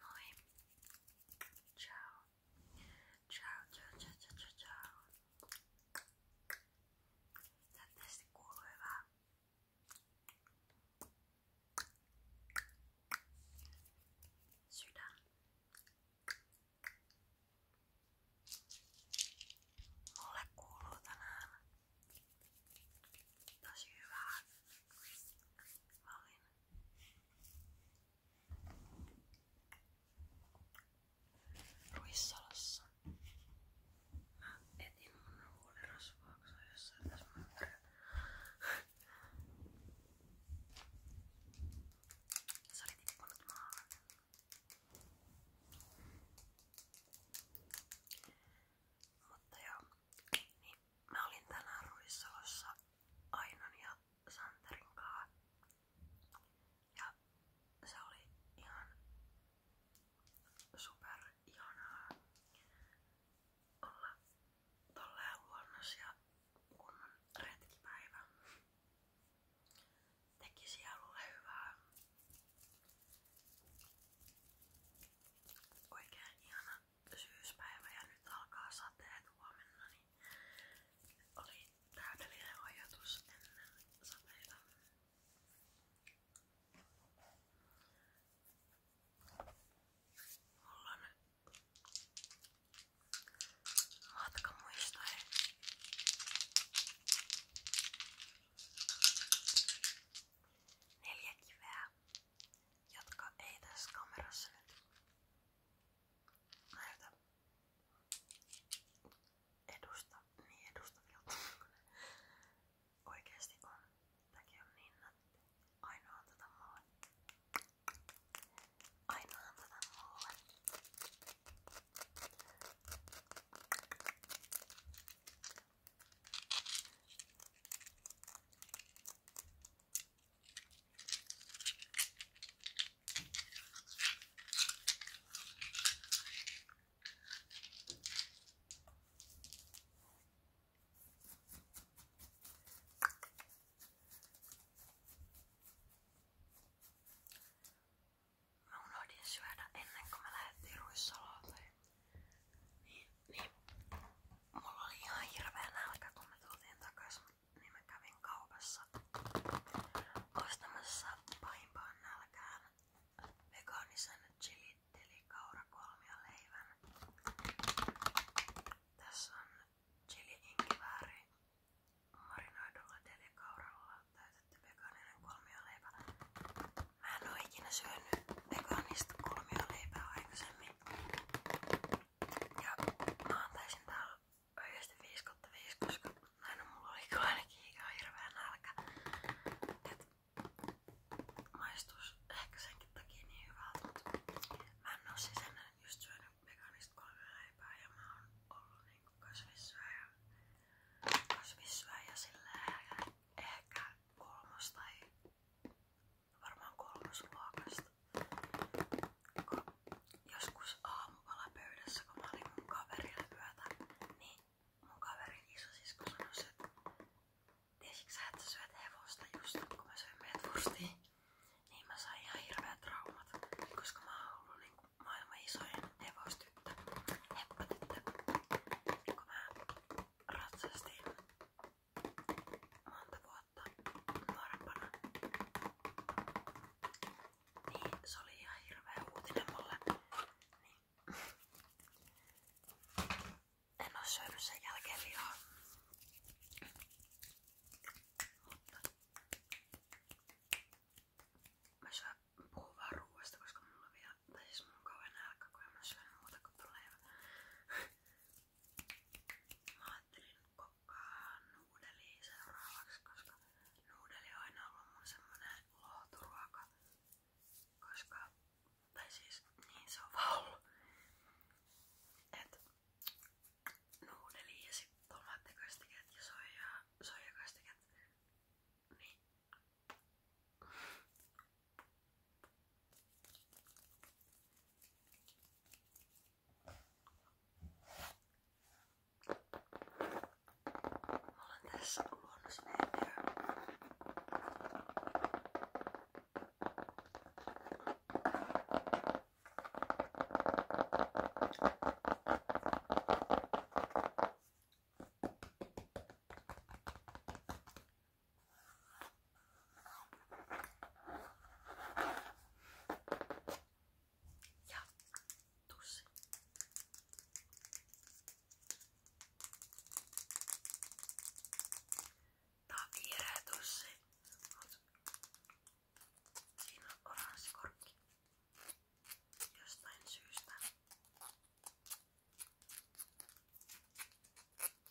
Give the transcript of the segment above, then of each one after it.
Moi. Ciao. Ciao, ciao, ciao, ciao, ciao, ciao. Toivottavasti kuuluu hyvää. Sydän. Mulle kuuluu tänään tosi hyvää Mä olin Ruissalossa. Mä etin mun huulirasvaa, kun se on jossain tässä Se oli tippunut maahan. Mutta joo, niin Mä olin tänään Ruissalossa Ainon ja Santerin kaa. Ja se oli ihan super ihanaa olla tolleen luonnos ja kunnon retkipäivä. Teki sielulle hyvää. Oikein ihana syyspäivä ja nyt alkaa sateet huomenna, niin oli täydellinen ajatus ennen sateita. Mulla on matkamuistoja neljä kiveä, jotka ei tässä kamerassa nyt näytä edusta, niin edustavilta oikeesti on. Tämäkin on niin nätti. Ainoa tätä mulle. Ainoa tätä mulle. Mä unohdin syödä ennen kuin mä lähdettiin ruissalolle. Niin, niin. Mulla oli ihan hirveä nälkä kun me tultiin takas, niin mä kävin kaupassa ostamassa pahimpaan nälkään vegaanisen chili kaurakolmia leivän. Tässä on chili inkivääri marinoidulla telikauralla täytetty vegaaninen kolmioleipä. Mä en oo ikinä syönyt vegaanista kulmioleipää aikaisemmin. Ja mä antaisin täällä oikeesti 5 kautta 5, koska aina mulla oli ainakin ihan hirveä nälkä. Et maistus ehkä senkin takia niin hyvältä, mutta mä en oo siis ennen just syönyt vegaanista kulmioleipää ja mä oon ollut niinku kasvissyöjä. Kasvissyöjä silleen ehkä kolmos tai varmaan kolmosluokasta. Kun joskus aamupalapöydässä, kun mä olin mun kaverilla yötä, niin mun kaverin isosisko sanoi, että tiesitkö sä, että sä syöt hevosta just kun mä söin metfustia? Niin mä sain ihan hirveät traumat, koska mä oon ollut niin kuin maailman isoin hevostyttö, heppatyttö. Niin kun mä ratsastin monta vuotta nuorempana. Niin se oli ihan hirveä uutinen mulle. Niin. En oo syönyt sen jälkeen lihaa. Mutta mä syön puhun vaan ruoasta, koska mulla on vielä, tai siis mulla on kauhean nälkä, kun en mä syön muuta kuin tulee. Mä ajattelin kokkaa nuudelia seuraavaksi, koska nuudeli on aina ollut mun semmonen lohturuoka. Koska, tai siis niin se on vaan ollut. Et nuudeli ja sit tomaattikasteket ja soija, soijakastiket. Niin. Olen tässä luonnosneitiä. Ja tussi. Tää on viereä tussi. Siinä on oranssi korkki. Jostain syystä.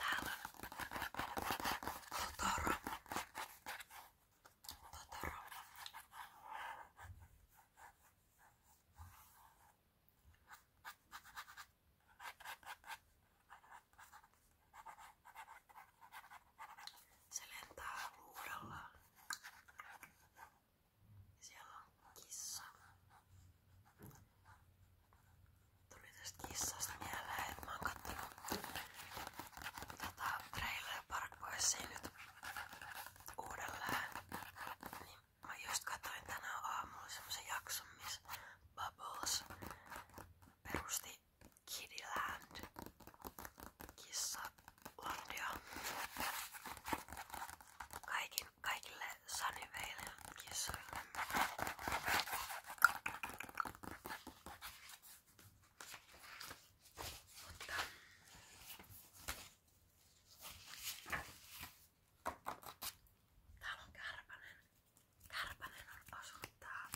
tangan kotoran kotoran se lentää luudella siellä on kissa Tuli tästä kissasta mieleen, mä oon kattonut tota Trailer Park Boysia nyt uudelleen. Niin mä just katsoin tänään aamulla semmosen jakson, missä Bubbles perusti Kiddyland kissalandia. Kaikin, kaikille Sunnyvalen kissoille. Mutta täällä on Kärpänen. Kärpänen on asunut täällä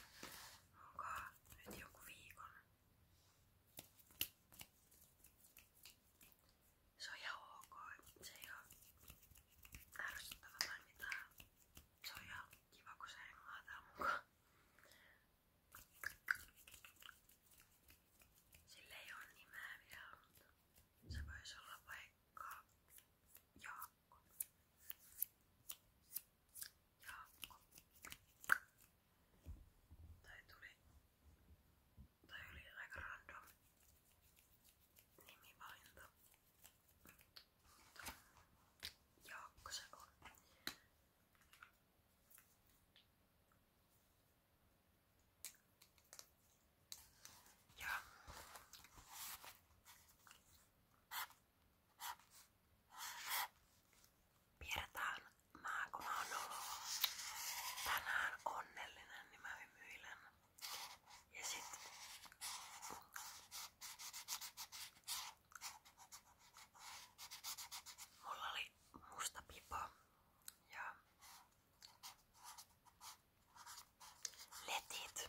mukaan nyt joku viikon. Se on ihan ok, se ei oo ärsyttävä tai mitään. Se on ihan kiva, kun se hengaa tää mukaan. Sillä ei oo nimeä vielä, mutta se voisi olla vaikka Jaakko. Jaakko. Tai tuli... Tai oli aika random nimivalinta. Jaakko se on. Ja. Pidetään mä kun mä oon ollut tänään onnellinen, niin mä hymyilen. Ja sit Mulla oli musta pipa ja letit.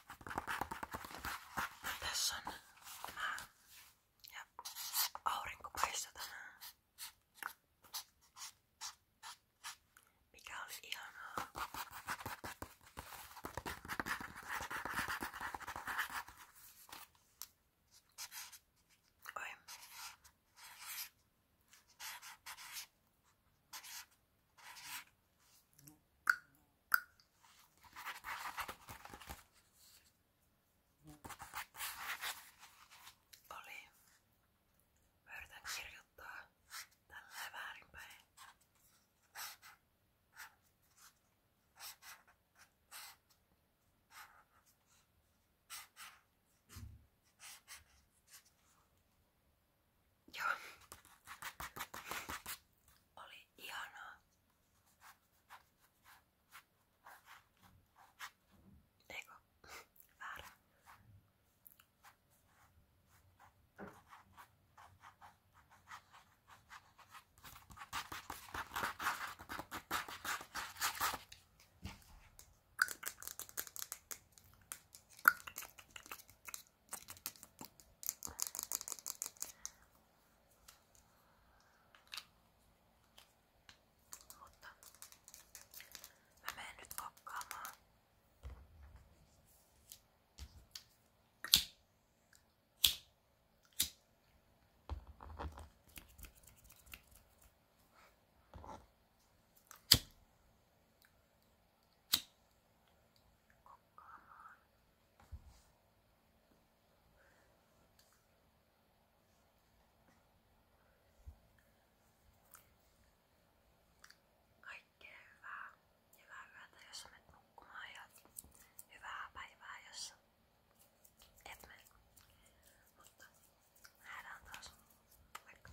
Tässä on mä äh, ja aurinko paistoi tänään. Mikä oli ihanaa. Oi. Oli. Mä yritän kirjoittaa tälleen väärinpäin. Joo. Oli ihanaa. Eikö? Väärä. Mutta mä menen nyt kokkaamaan kokkaamaan. Kaikkea hyvää. Hyvää yötä, jos sä menet nukkumaan ja hyvää päivää, jos et mene. Mutta nähdään taas. Moikka!